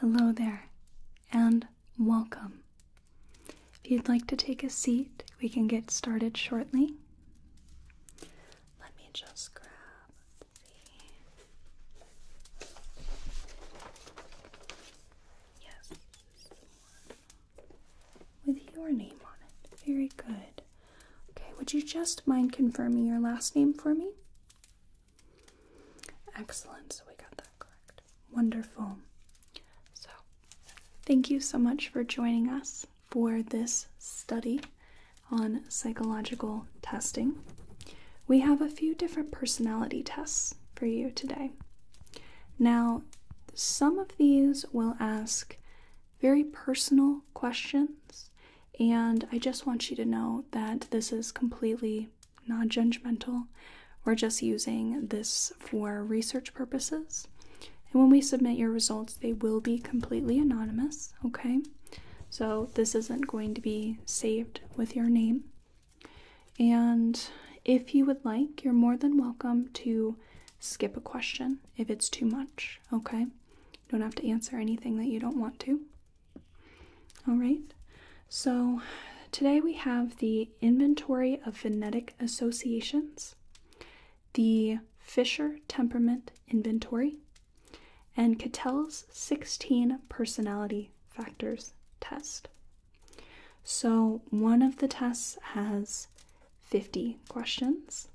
Hello there, and welcome. If you'd like to take a seat, we can get started shortly. Let me just grab the. Yes, with your name on it. Very good. Okay, would you just mind confirming your last name for me? Excellent, so we got that correct. Wonderful. So, thank you so much for joining us for this study on psychological testing. We have a few different personality tests for you today. Now, some of these will ask very personal questions, and I just want you to know that this is completely non judgmental. We're just using this for research purposes. And when we submit your results, they will be completely anonymous, okay? So this isn't going to be saved with your name. And if you would like, you're more than welcome to skip a question if it's too much, okay? You don't have to answer anything that you don't want to. All right, so today we have the Inventory of Phonetic Associations, the Fisher Temperament Inventory, and Cattell's 16 Personality Factors test. So, one of the tests has 50 questions,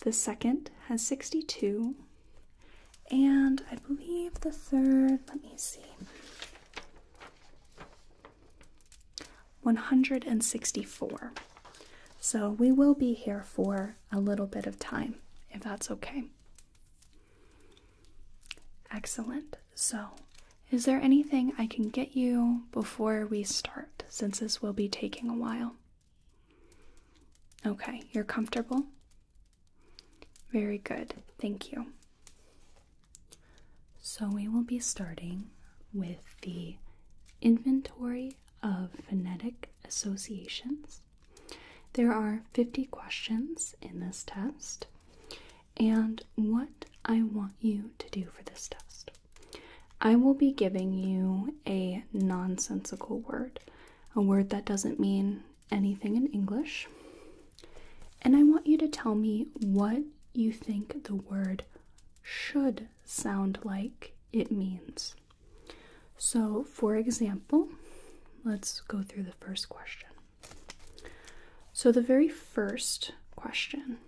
the second has 62, and I believe the third, let me see, 164. So we will be here for a little bit of time, if that's okay. Excellent. So, is there anything I can get you before we start, since this will be taking a while? Okay, you're comfortable? Very good, thank you. So, we will be starting with the inventory of phonetic associations. There are 50 questions in this test, and what I want you to do for this test. I will be giving you a nonsensical word, a word that doesn't mean anything in English, and I want you to tell me what you think the word should sound like it means. So, for example, let's go through the first question. So, the very first question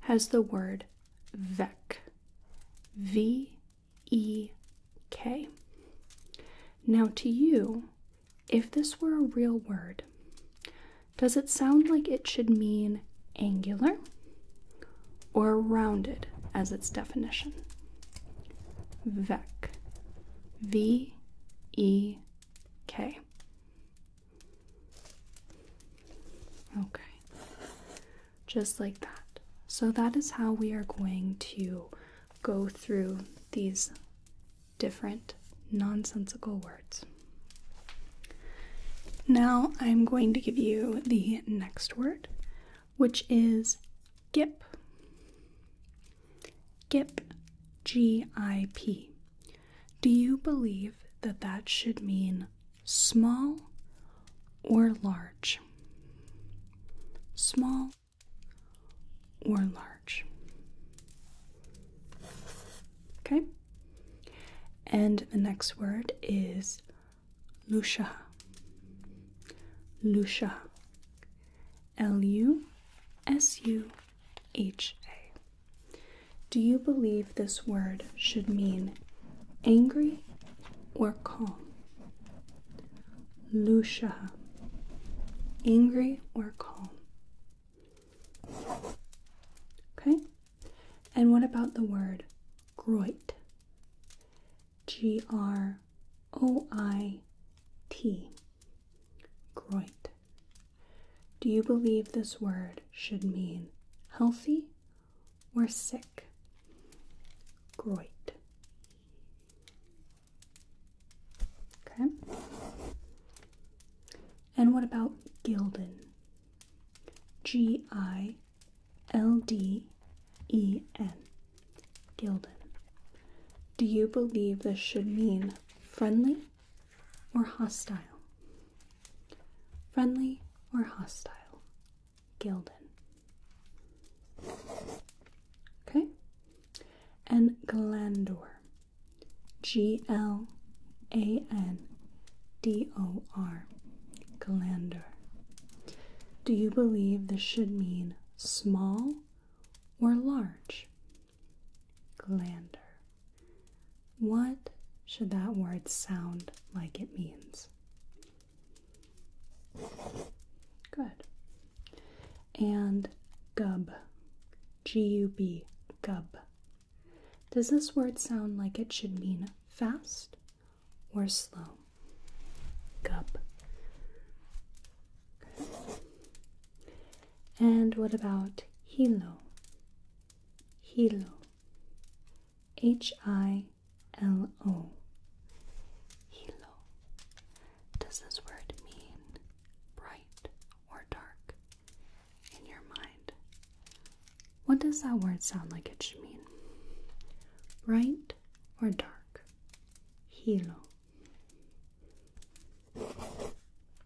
has the word vec. V E K. Now, to you, if this were a real word, does it sound like it should mean angular or rounded as its definition? Vec. V E K. Okay. Just like that. So that is how we are going to go through these different nonsensical words. Now I'm going to give you the next word, which is GIP. GIP, G I P. Do you believe that that should mean small or large? Small or large. Okay? And the next word is Lusha. Lusha. L U S U H A. Do you believe this word should mean angry or calm? Lucia, Angry or calm. Okay? And what about the word groit? G R O I T. Groit. Do you believe this word should mean healthy or sick? Groit. Okay. And what about Gilden? G I L D E N. Gilden. Do you believe this should mean friendly or hostile? Friendly or hostile? Gilden. Okay. And Glandor. G L A N D O R. Glander. Do you believe this should mean small or large? Glander. What should that word sound like it means? Good and gub. G U B, gub. Does this word sound like it should mean fast or slow? Gub. And what about hilo? Hilo. H I L O. Hilo. Does this word mean bright or dark in your mind? What does that word sound like it should mean? Bright or dark? Halo.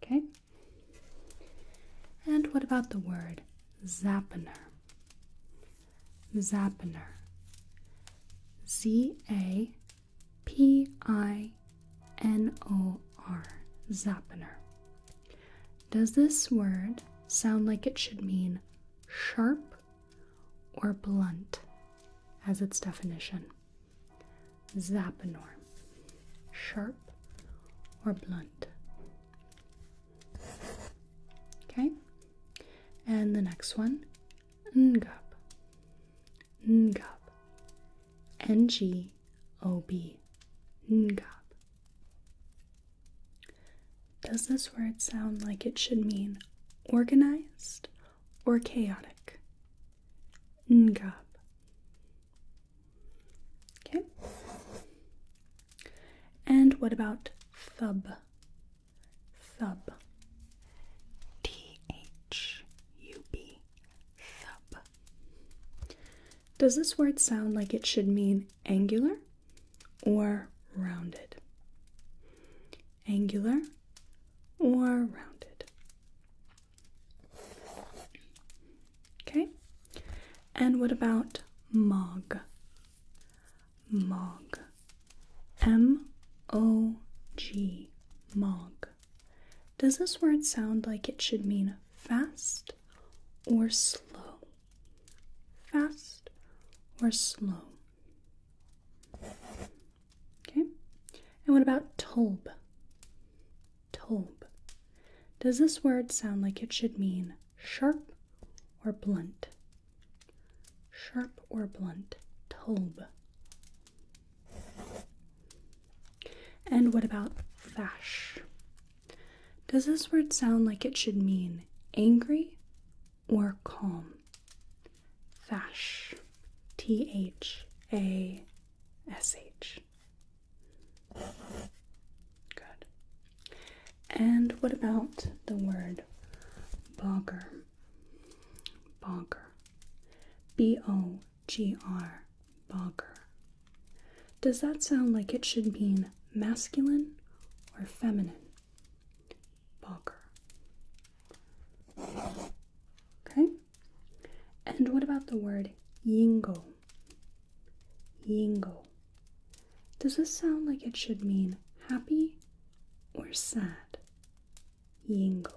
Okay? And what about the word zappiner? Zappiner. Z A P I N O R, Zappiner. Does this word sound like it should mean sharp or blunt as its definition? Zappinor, sharp or blunt. Okay, and the next one, ngup, Ngob. N G O B. Does this word sound like it should mean organized or chaotic? Ngob. Okay. And what about thub? Thub. T H U B. Does this word sound like it should mean angular or rounded? Angular or rounded? Okay. And what about mog? Mog. M O G. Mog. Does this word sound like it should mean fast or slow? Fast or slow? Okay. And what about tob? Tob. Does this word sound like it should mean sharp or blunt? Sharp or blunt? Tob. And what about fash? Does this word sound like it should mean angry or calm? Fash. T H A S H. Good. And what about the word bogger? Bogger. B O G.R. Boger. Does that sound like it should mean masculine or feminine? Boger. Okay. And what about the word yingo? Yingo. Does this sound like it should mean happy or sad? Yingo.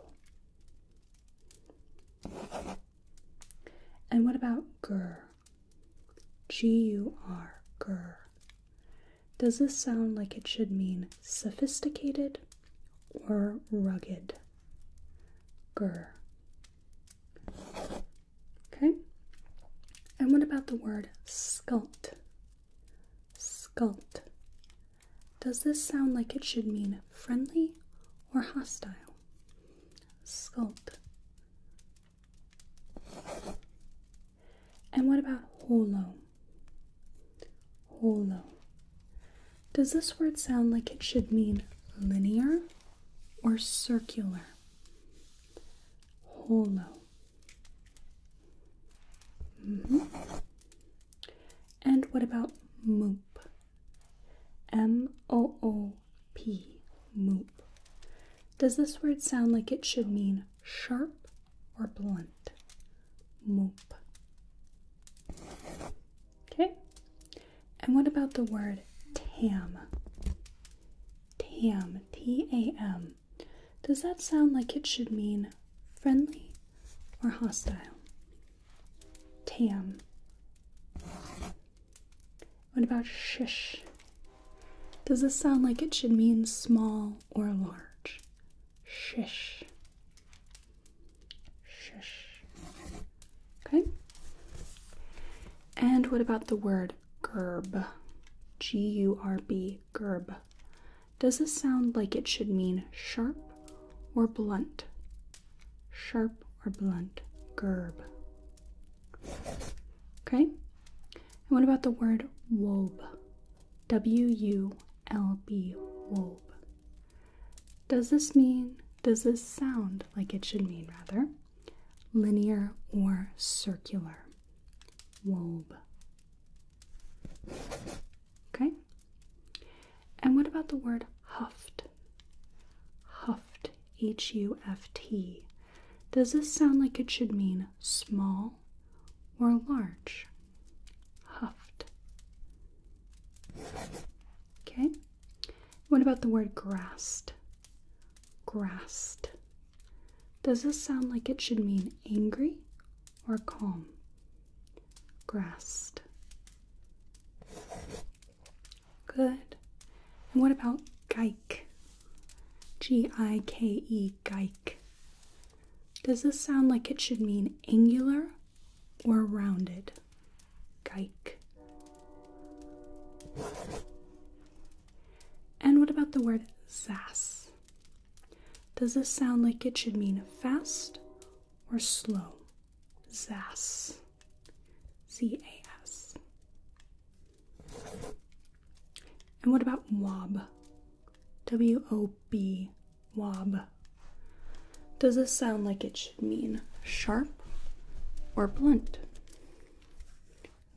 And what about gur? G U R, gur. Does this sound like it should mean sophisticated or rugged? Gur. Okay. And what about the word sculpt? Sculpt. Does this sound like it should mean friendly or hostile. Sculpt. And what about holo? Holo. Does this word sound like it should mean linear or circular? Holo. Mm-hmm. And what about mope? M O O P, moop. Does this word sound like it should mean sharp or blunt? Moop. Okay. And what about the word tam? Tam, T A M. Does that sound like it should mean friendly or hostile? Tam. What about shish? Does this sound like it should mean small or large? Shish. Shish. Okay. And what about the word gerb? G U R B, gerb. Does this sound like it should mean sharp or blunt? sharp or blunt, gerb. Okay? And what about the word wob? W U L B, wob. Does this mean, does this sound like it should mean rather? Linear or circular? wob? Okay, and what about the word huffed? Huffed, H U F T. Does this sound like it should mean small or large? Huffed. Okay. What about the word grassed? Grassed. Does this sound like it should mean angry or calm? Grassed. Good. And what about gike? G I K E, gike. Does this sound like it should mean angular or rounded? Gike. And what about the word zas? Does this sound like it should mean fast or slow? Zas. Z A S. And what about wob? W O B. Wob. Does this sound like it should mean sharp or blunt?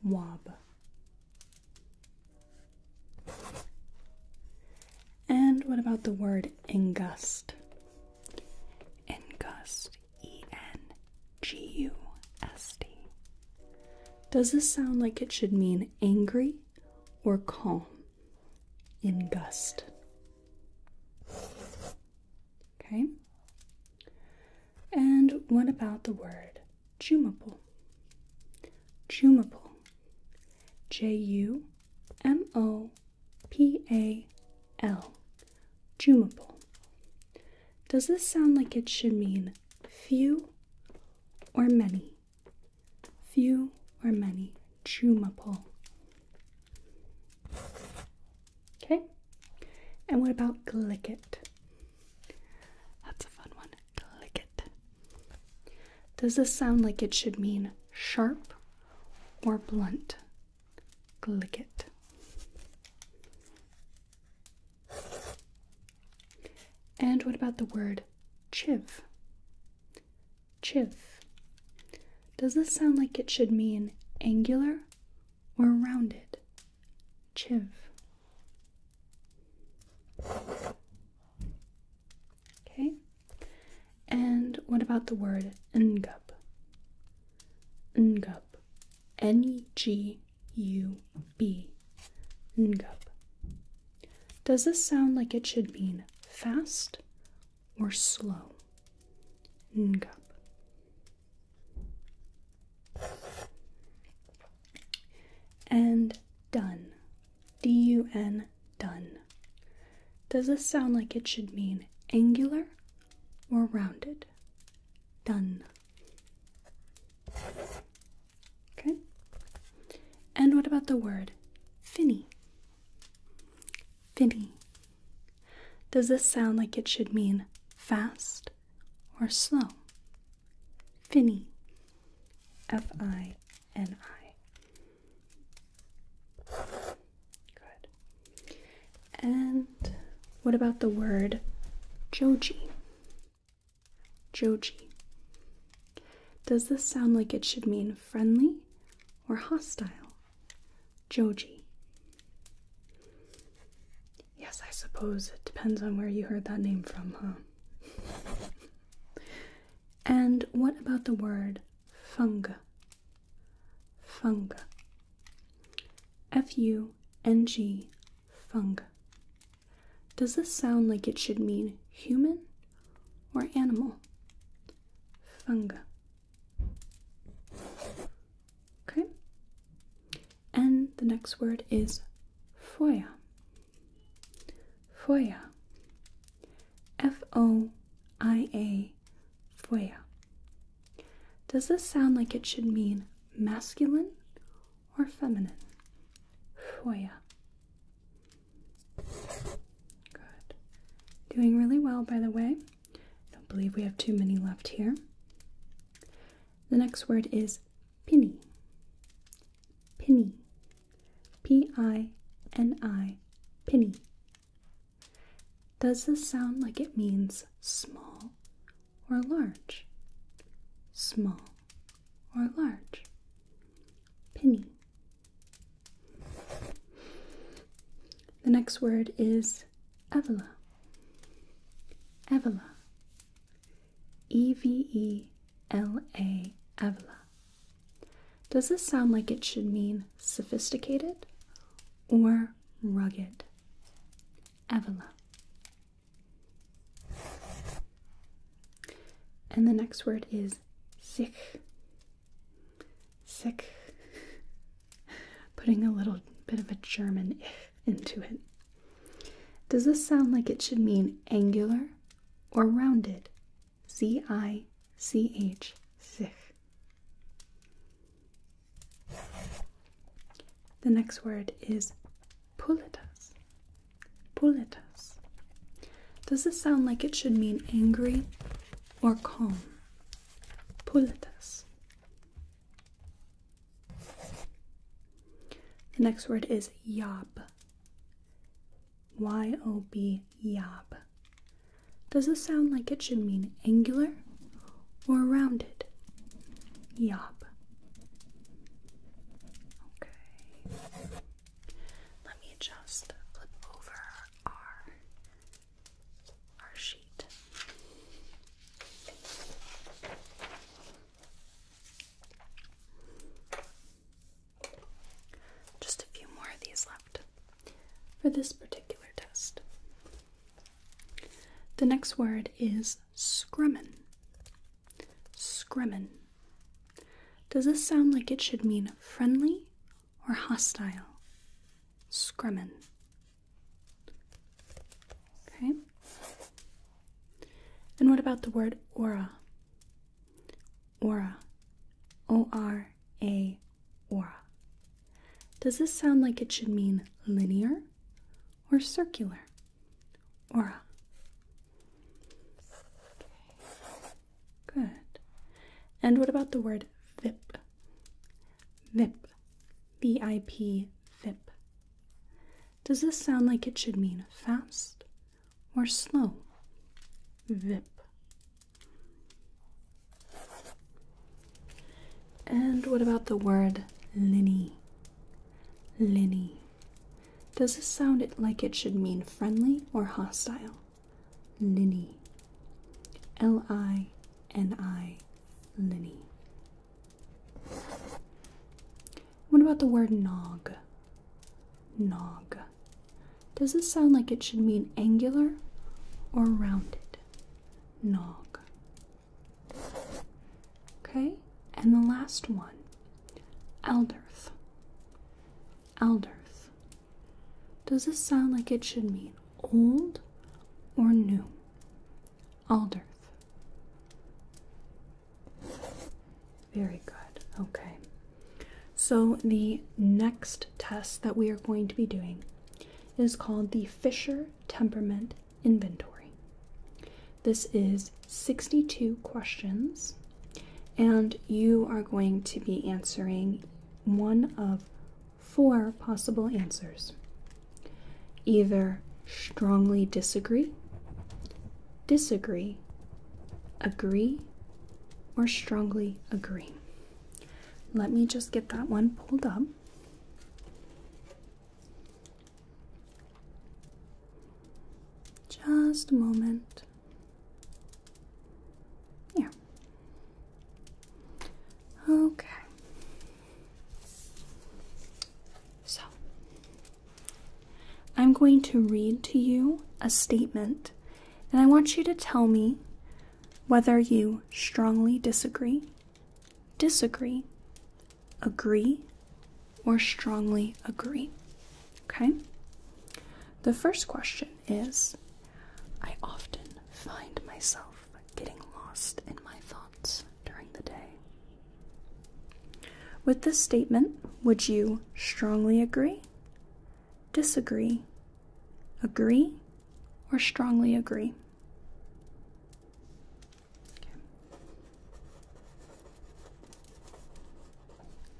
Wob. And what about the word ingust? Engust, E N G U S T. Does this sound like it should mean angry or calm? Engust. Okay. And what about the word jumable? Jumable. J U M O P A L. Jumable. Does this sound like it should mean few or many? Few or many. Jumable. Okay. And what about click it? That's a fun one. Click it. Does this sound like it should mean sharp or blunt? click it. And what about the word chiv? Chiv. Does this sound like it should mean angular or rounded? Chiv. Okay. And what about the word ngub? Ngup. N G U B. Ngup. Does this sound like it should mean fast or slow? Ngub. And done. D U N, done. Does this sound like it should mean angular more rounded. Done. Okay. And what about the word finny? Finny. Does this sound like it should mean fast or slow? Finny. F I N I. Good. And what about the word Joji? Joji. Does this sound like it should mean friendly or hostile? Joji. Yes, I suppose it depends on where you heard that name from, huh? and what about the word funga? funga. F U N G, funga. Does this sound like it should mean human or animal? Funga. Okay. And the next word is foia. Foia. F O I A Fuea. Does this sound like it should mean masculine or feminine? Fuea. Good. Doing really well, by the way. I don't believe we have too many left here. The next word is pinny. Pinny. P I N I. Pinny. Does this sound like it means small or large? Small or large? Penny. The next word is Evela. Evela. E V E L A. Evela. Does this sound like it should mean sophisticated or rugged? Avila. And the next word is sick. Sick. Putting a little bit of a German into it. Does this sound like it should mean angular or rounded? Z I C H, sich. The next word is pulitas. Pulitas. Does this sound like it should mean angry or calm? Pulitas. The next word is yob. Y O B, yob. Does this sound like it should mean angular or rounded? Yop. Okay. Let me just flip over our our sheet. Just a few more of these left for this particular test. The next word is scrummin. Scrummin. Does this sound like it should mean friendly or hostile? Scrummin. Okay. And what about the word aura? Aura. O R A aura. Does this sound like it should mean linear or circular? Aura. Good. And what about the word VIP? VIP. V I P, VIP. Does this sound like it should mean fast or slow? VIP. And what about the word linny? Linny. Does this sound like it should mean friendly or hostile? Linny. L I N I. Linny. What about the word nog? Nog. Does this sound like it should mean angular or rounded? Nog. Okay, and the last one Alderth. Alderth. Does this sound like it should mean old or new? Alderth. Very good. Okay. So the next test that we are going to be doing is called the Fisher Temperament inventory. This is 62 questions, and you are going to be answering one of four possible answers either strongly disagree, disagree, agree, or strongly agree. Let me just get that one pulled up. Just a moment. Yeah. Okay. So, I'm going to read to you a statement, and I want you to tell me whether you strongly disagree disagree, agree, or strongly agree. Okay? The first question is I often find myself getting lost in my thoughts during the day. With this statement, would you strongly agree, disagree, agree, or strongly agree?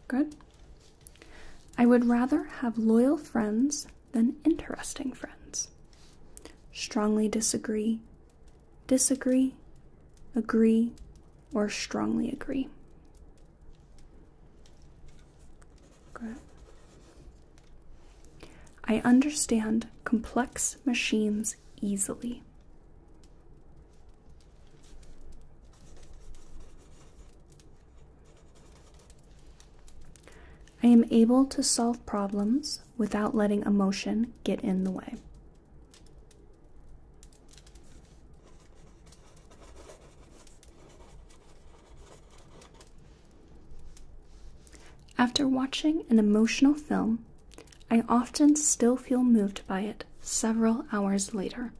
Good. I would rather have loyal friends than interesting friends. Strongly disagree, disagree, agree, or strongly agree. Good. I understand complex machines easily. I am able to solve problems without letting emotion get in the way. After watching an emotional film, I often still feel moved by it several hours later.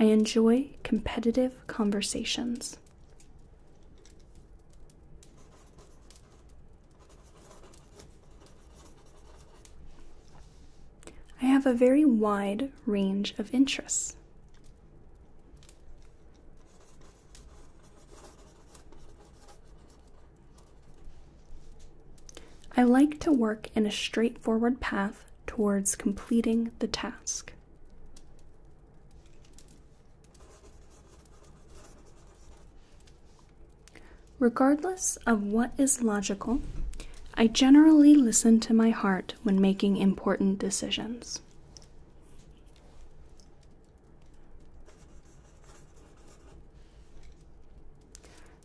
I enjoy competitive conversations. I have a very wide range of interests. I like to work in a straightforward path towards completing the task. Regardless of what is logical, I generally listen to my heart when making important decisions.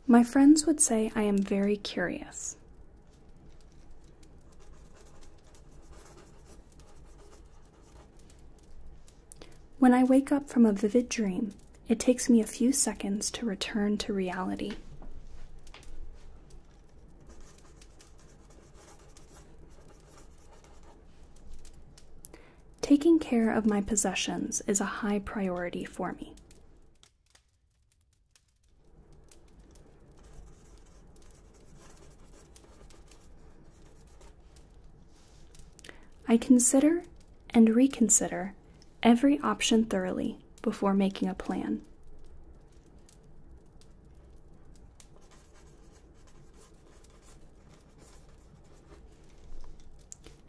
My friends would say I am very curious. When I wake up from a vivid dream, it takes me a few seconds to return to reality. Taking care of my possessions is a high priority for me. I consider and reconsider every option thoroughly before making a plan.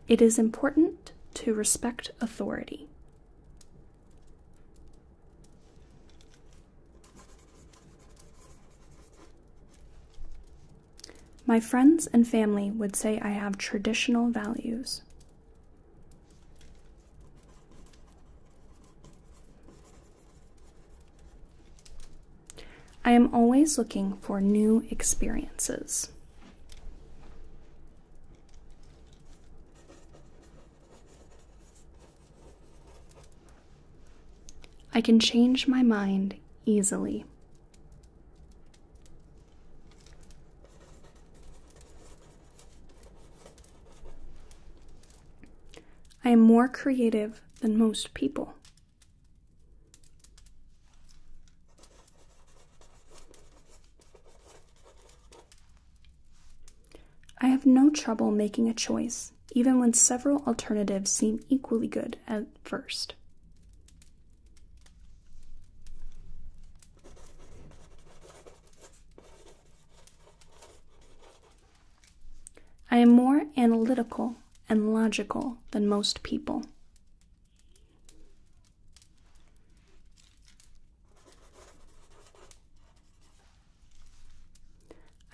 It is important to respect authority. My friends and family would say I have traditional values. I am always looking for new experiences. I can change my mind easily. I am more creative than most people. I have no trouble making a choice, even when several alternatives seem equally good at first. I am more analytical and logical than most people.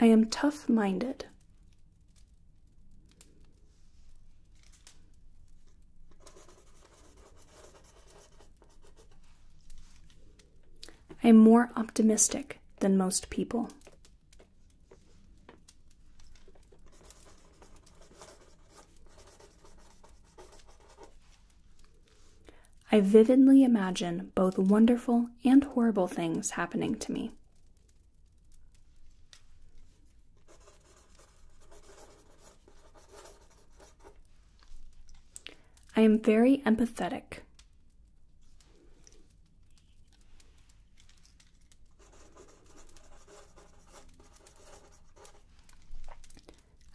I am tough minded. I am more optimistic than most people. I vividly imagine both wonderful and horrible things happening to me. I am very empathetic.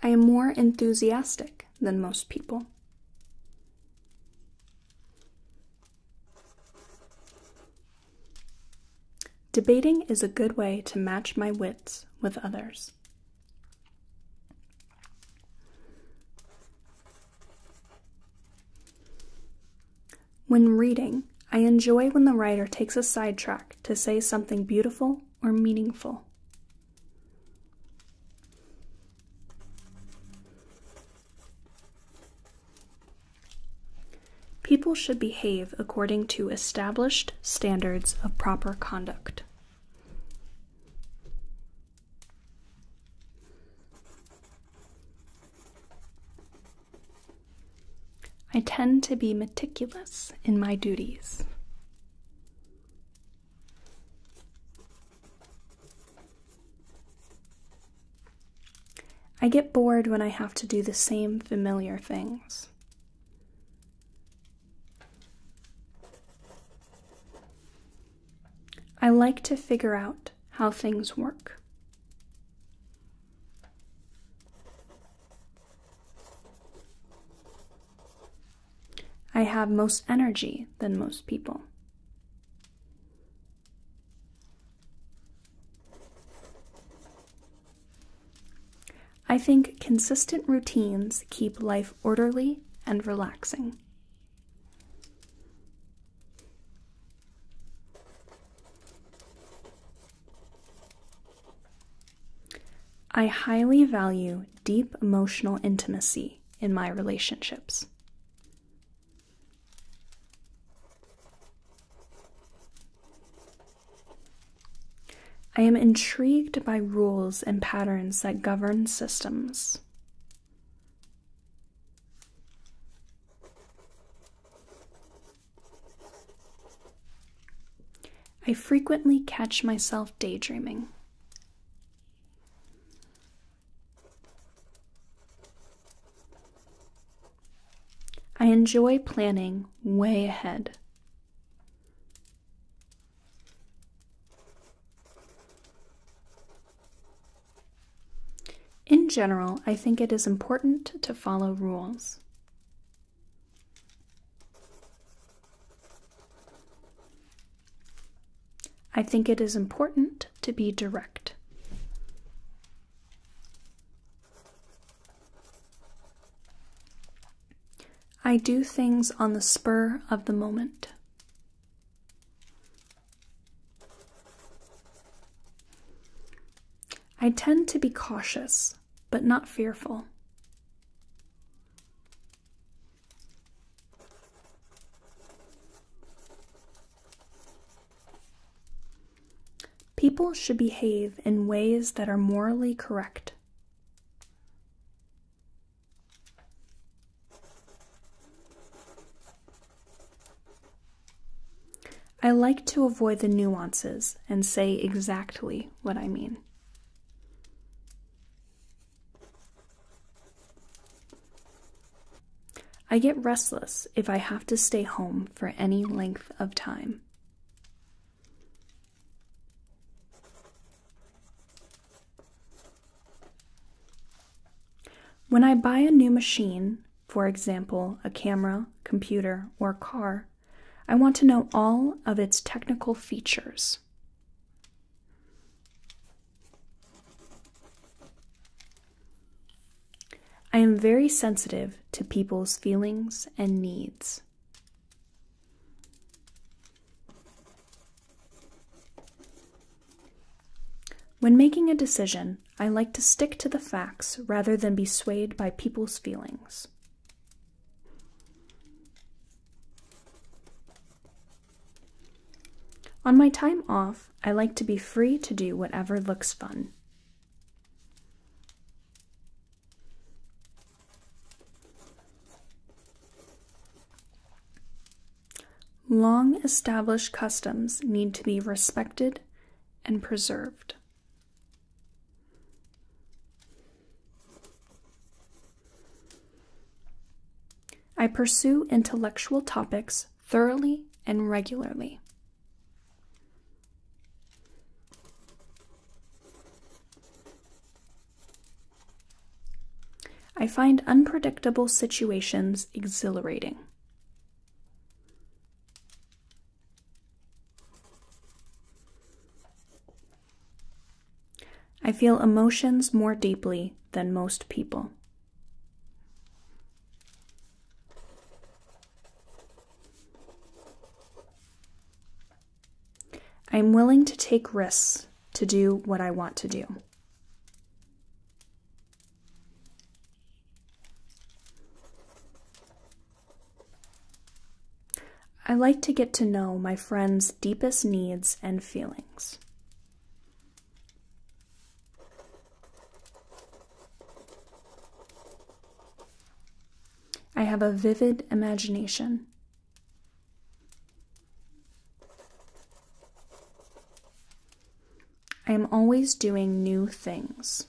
I am more enthusiastic than most people. Debating is a good way to match my wits with others. When reading, I enjoy when the writer takes a sidetrack to say something beautiful or meaningful. People should behave according to established standards of proper conduct. I tend to be meticulous in my duties. I get bored when I have to do the same familiar things. I like to figure out how things work. I have most energy than most people. I think consistent routines keep life orderly and relaxing. I highly value deep emotional intimacy in my relationships. I am intrigued by rules and patterns that govern systems. I frequently catch myself daydreaming. I enjoy planning way ahead. In general, I think it is important to follow rules. I think it is important to be direct. I do things on the spur of the moment. I tend to be cautious, but not fearful. People should behave in ways that are morally correct. I like to avoid the nuances and say exactly what I mean. I get restless if I have to stay home for any length of time. When I buy a new machine, for example, a camera, computer, or car, I want to know all of its technical features. I am very sensitive to people's feelings and needs. When making a decision, I like to stick to the facts rather than be swayed by people's feelings. On my time off, I like to be free to do whatever looks fun. Long established customs need to be respected and preserved. I pursue intellectual topics thoroughly and regularly. I find unpredictable situations exhilarating. I feel emotions more deeply than most people. I'm willing to take risks to do what I want to do. I like to get to know my friends' deepest needs and feelings. I have a vivid imagination I am always doing new things.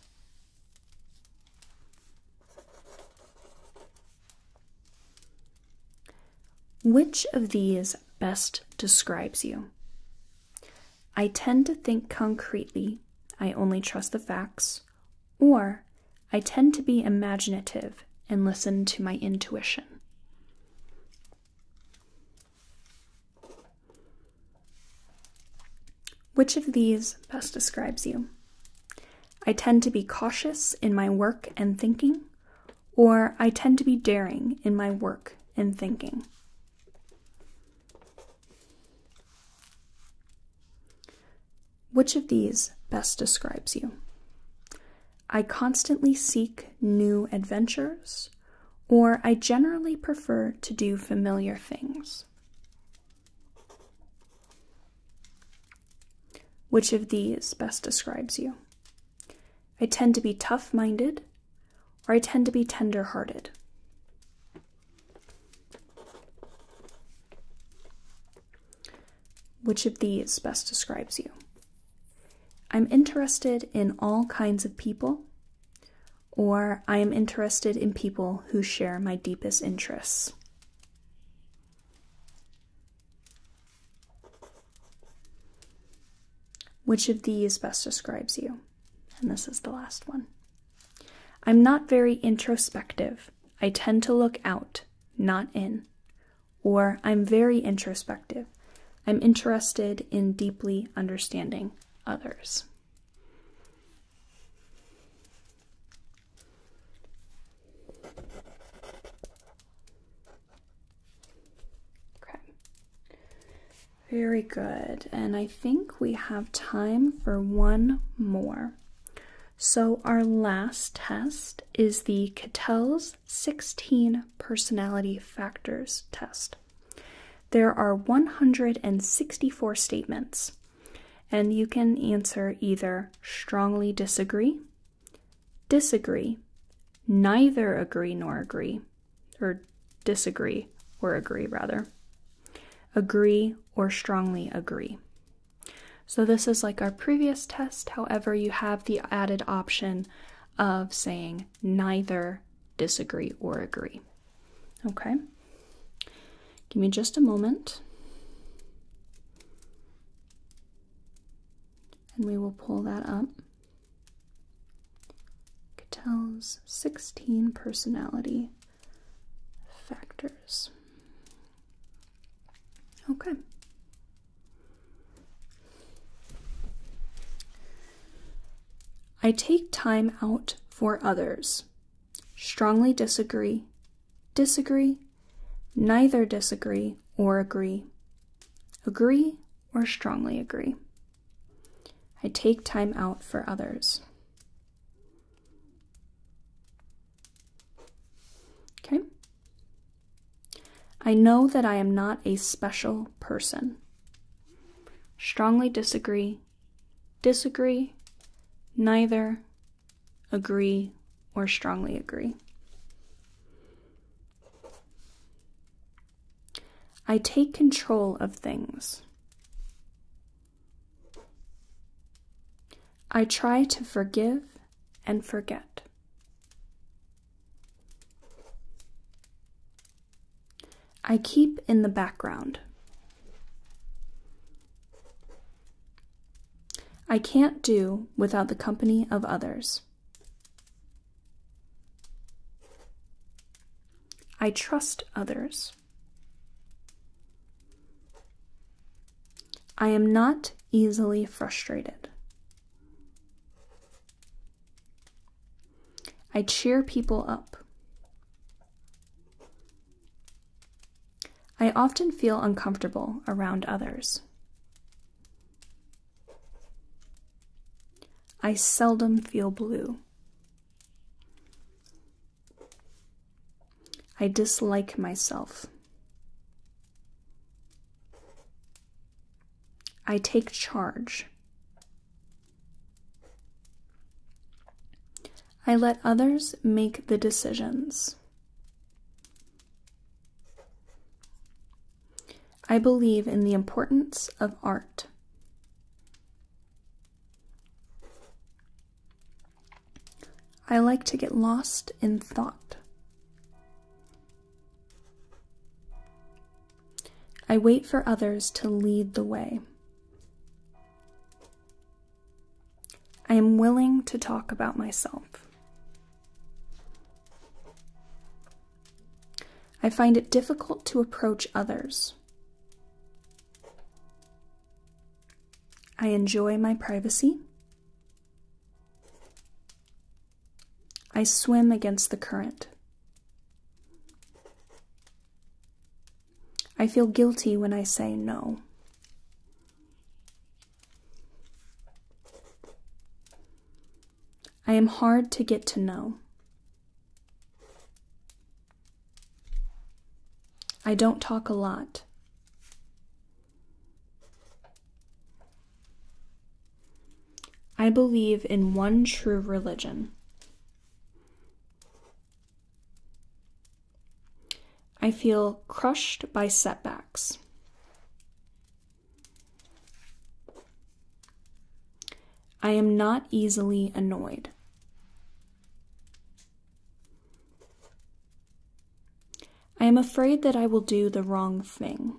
Which of these best describes you? I tend to think concretely, I only trust the facts, or I tend to be imaginative and listen to my intuition. Which of these best describes you? I tend to be cautious in my work and thinking, or I tend to be daring in my work and thinking. Which of these best describes you? I constantly seek new adventures, or I generally prefer to do familiar things. Which of these best describes you? I tend to be tough minded, or I tend to be tender hearted. Which of these best describes you? I'm interested in all kinds of people, or I am interested in people who share my deepest interests. Which of these best describes you? And this is the last one. I'm not very introspective. I tend to look out, not in or I'm very introspective. I'm interested in deeply understanding others. Very good. And I think we have time for one more. So, our last test is the Cattell's 16 personality factors test. There are 164 statements, and you can answer either strongly disagree, disagree, neither agree nor agree, or disagree or agree rather, agree or strongly agree. So, this is like our previous test, however, you have the added option of saying neither disagree or agree. Okay? Give me just a moment. And we will pull that up. Cattell's 16 personality factors. Okay. I take time out for others. Strongly disagree, disagree, neither disagree or agree, agree or strongly agree. I take time out for others. Okay. I know that I am not a special person. Strongly disagree, disagree, neither, agree, or strongly agree. I take control of things. I try to forgive and forget. I keep in the background. I can't do without the company of others. I trust others. I am not easily frustrated. I cheer people up. I often feel uncomfortable around others. I seldom feel blue. I dislike myself. I take charge. I let others make the decisions. I believe in the importance of art. I like to get lost in thought. I wait for others to lead the way. I am willing to talk about myself. I find it difficult to approach others. I enjoy my privacy. I swim against the current. I feel guilty when I say no. I am hard to get to know. I don't talk a lot. I believe in one true religion. I feel crushed by setbacks. I am not easily annoyed. I am afraid that I will do the wrong thing.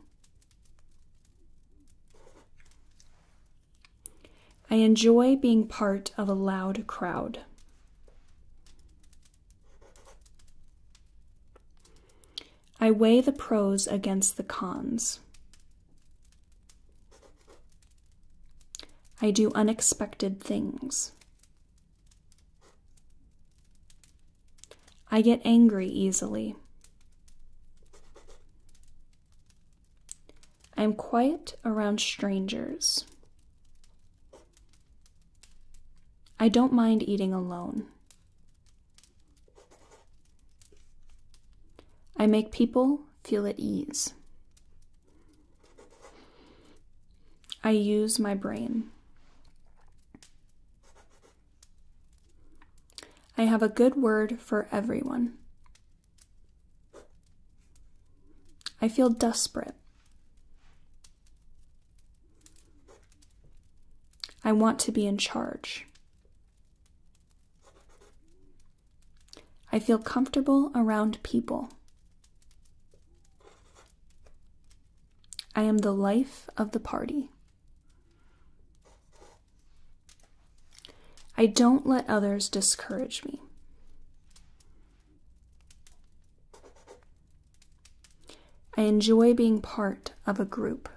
I enjoy being part of a loud crowd. I weigh the pros against the cons. I do unexpected things. I get angry easily. I am quiet around strangers. I don't mind eating alone. I make people feel at ease. I use my brain. I have a good word for everyone. I feel desperate. I want to be in charge. I feel comfortable around people. I am the life of the party. I don't let others discourage me. I enjoy being part of a group.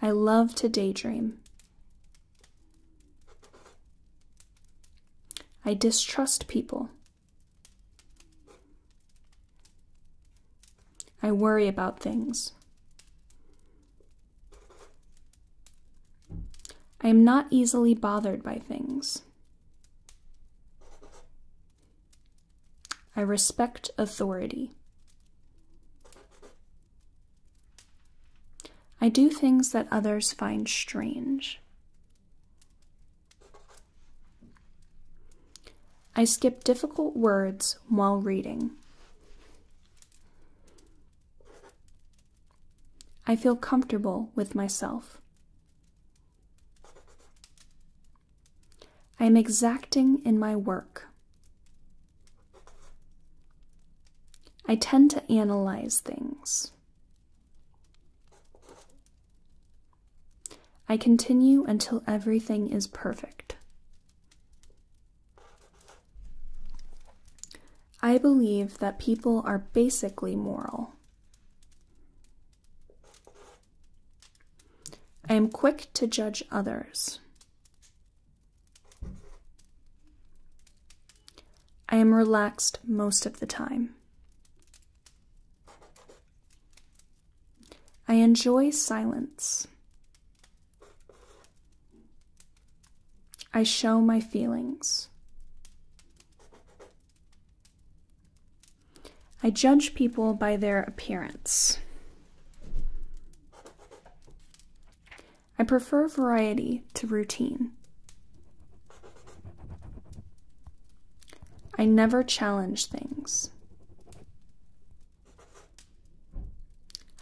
I love to daydream. I distrust people. I worry about things. I am not easily bothered by things. I respect authority. I do things that others find strange. I skip difficult words while reading. I feel comfortable with myself. I am exacting in my work. I tend to analyze things. I continue until everything is perfect. I believe that people are basically moral. I am quick to judge others. I am relaxed most of the time. I enjoy silence. I show my feelings. I judge people by their appearance. I prefer variety to routine. I never challenge things.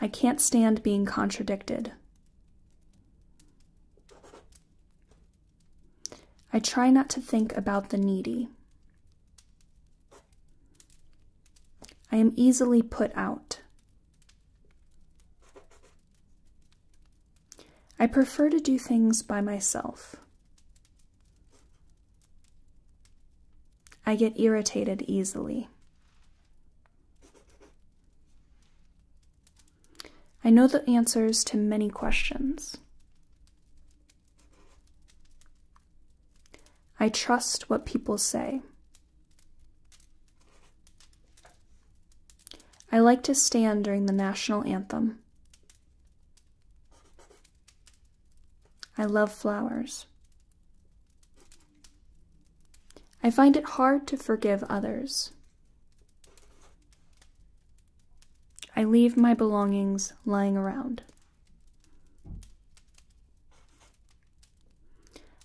I can't stand being contradicted. I try not to think about the needy. I am easily put out. I prefer to do things by myself. I get irritated easily. I know the answers to many questions. I trust what people say. I like to stand during the national anthem. I love flowers. I find it hard to forgive others. I leave my belongings lying around.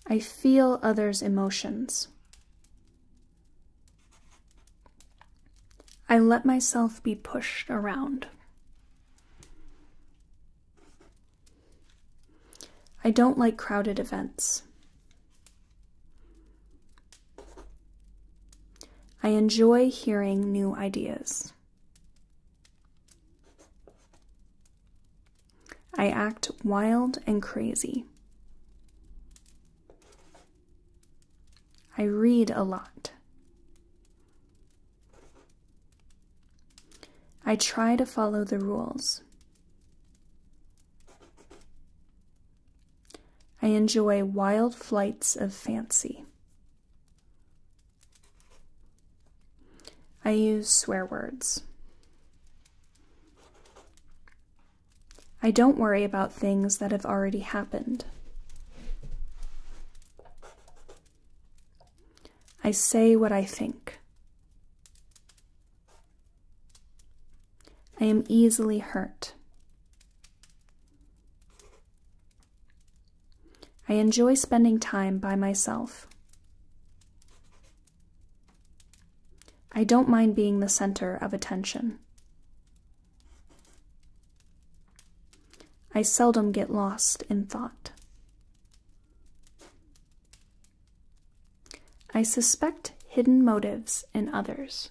I feel others' emotions. I let myself be pushed around. I don't like crowded events. I enjoy hearing new ideas. I act wild and crazy. I read a lot. I try to follow the rules. I enjoy wild flights of fancy. I use swear words. I don't worry about things that have already happened. I say what I think. I am easily hurt. I enjoy spending time by myself. I don't mind being the center of attention. I seldom get lost in thought. I suspect hidden motives in others.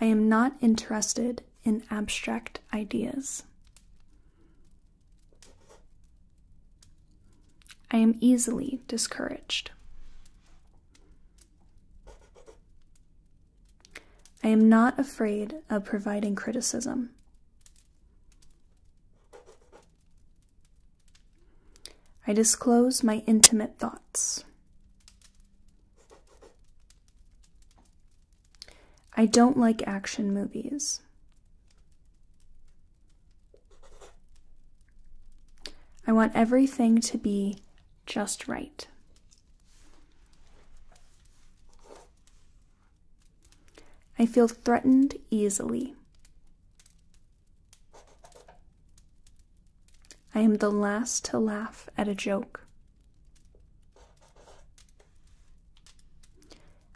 I am not interested in abstract ideas. I am easily discouraged. I am not afraid of providing criticism. I disclose my intimate thoughts. I don't like action movies. I want everything to be just right. I feel threatened easily. I am the last to laugh at a joke.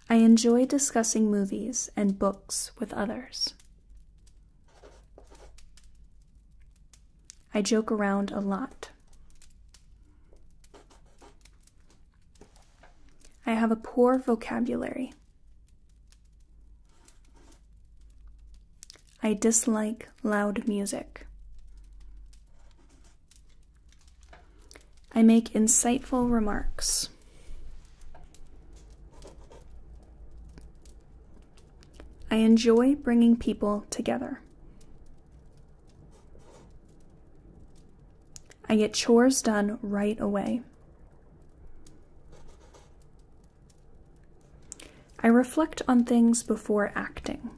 I enjoy discussing movies and books with others. I joke around a lot. I have a poor vocabulary. I dislike loud music. I make insightful remarks. I enjoy bringing people together. I get chores done right away. I reflect on things before acting.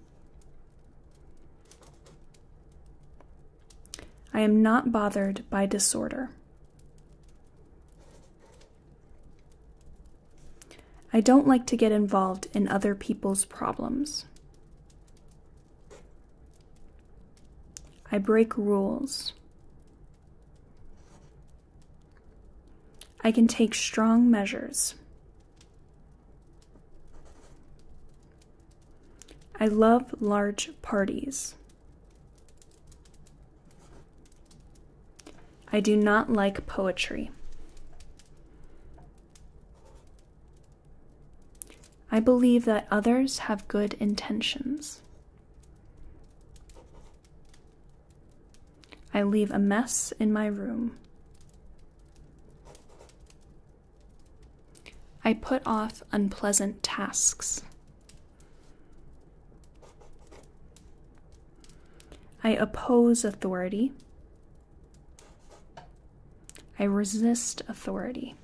I am not bothered by disorder. I don't like to get involved in other people's problems. I break rules. I can take strong measures. I love large parties. I do not like poetry. I believe that others have good intentions. I leave a mess in my room. I put off unpleasant tasks. I oppose authority. I resist authority.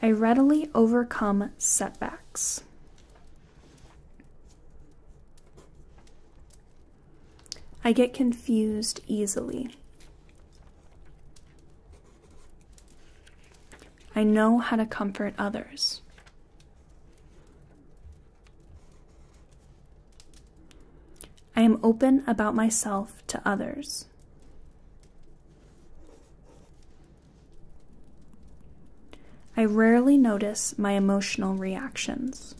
I readily overcome setbacks. I get confused easily. I know how to comfort others. I am open about myself to others. I rarely notice my emotional reactions.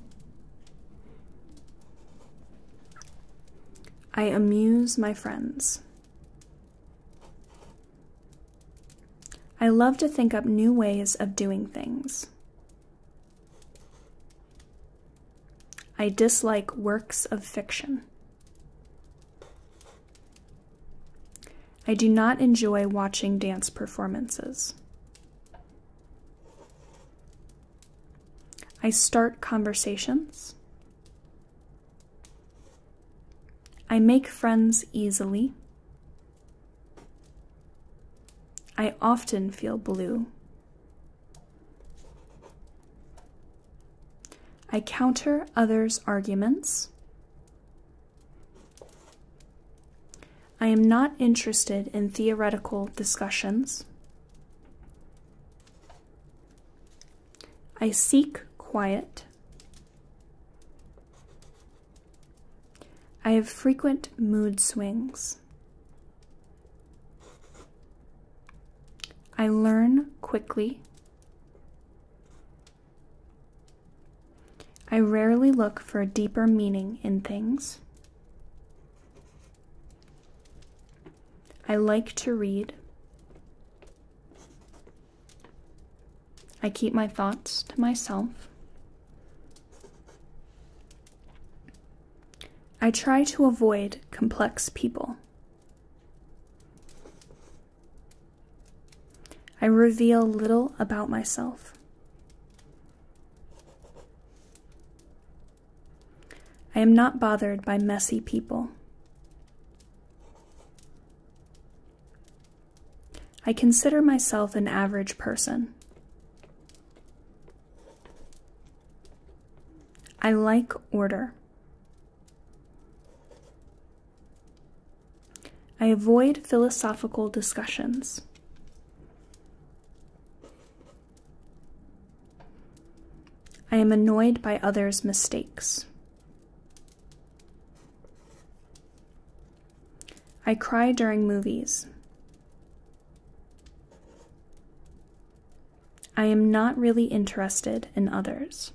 I amuse my friends. I love to think up new ways of doing things. I dislike works of fiction. I do not enjoy watching dance performances. I start conversations. I make friends easily. I often feel blue. I counter others' arguments. I am not interested in theoretical discussions. I seek quiet. I have frequent mood swings. I learn quickly. I rarely look for a deeper meaning in things. I like to read. I keep my thoughts to myself. I try to avoid complex people. I reveal little about myself. I am not bothered by messy people. I consider myself an average person. I like order. I avoid philosophical discussions. I am annoyed by others' mistakes. I cry during movies. I am not really interested in others.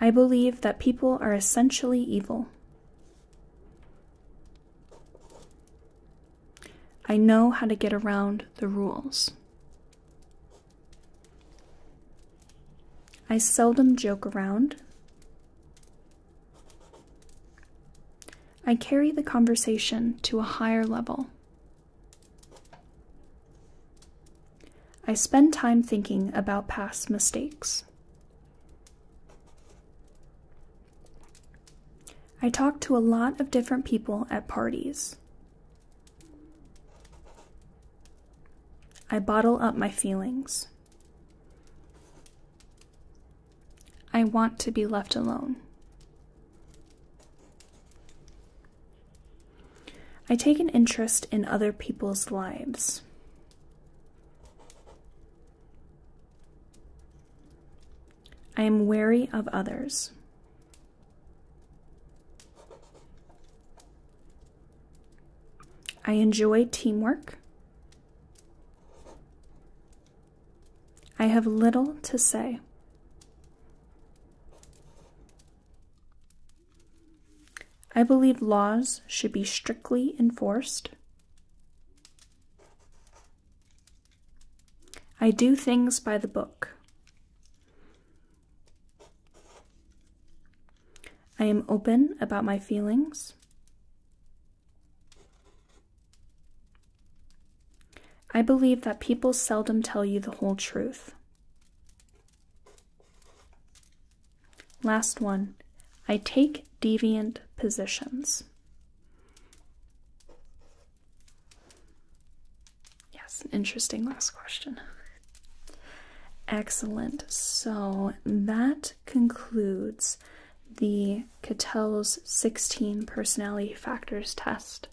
I believe that people are essentially evil. I know how to get around the rules. I seldom joke around. I carry the conversation to a higher level. I spend time thinking about past mistakes. I talk to a lot of different people at parties. I bottle up my feelings. I want to be left alone. I take an interest in other people's lives. I am wary of others. I enjoy teamwork. I have little to say. I believe laws should be strictly enforced. I do things by the book. I am open about my feelings. I believe that people seldom tell you the whole truth. Last one. I take deviant positions. Yes, interesting last question. Excellent. So that concludes the Cattell's 16 personality factors test.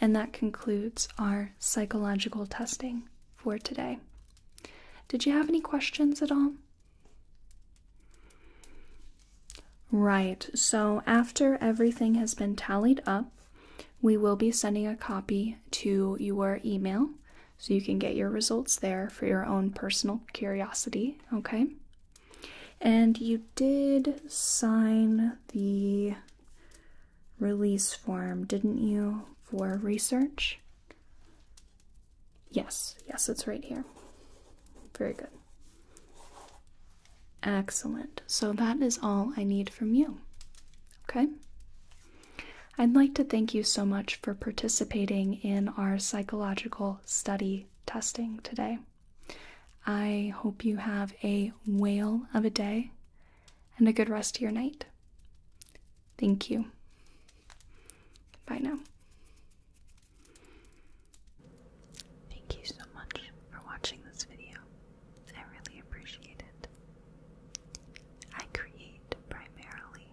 And that concludes our psychological testing for today. Did you have any questions at all? Right, so after everything has been tallied up, we will be sending a copy to your email so you can get your results there for your own personal curiosity, okay? And you did sign the release form, didn't you, for research? Yes, yes, it's right here. Very good. Excellent. So that is all I need from you. Okay? I'd like to thank you so much for participating in our psychological study testing today. I hope you have a whale of a day and a good rest of your night. Thank you. Bye now. Thank you so much for watching this video. I really appreciate it. I create primarily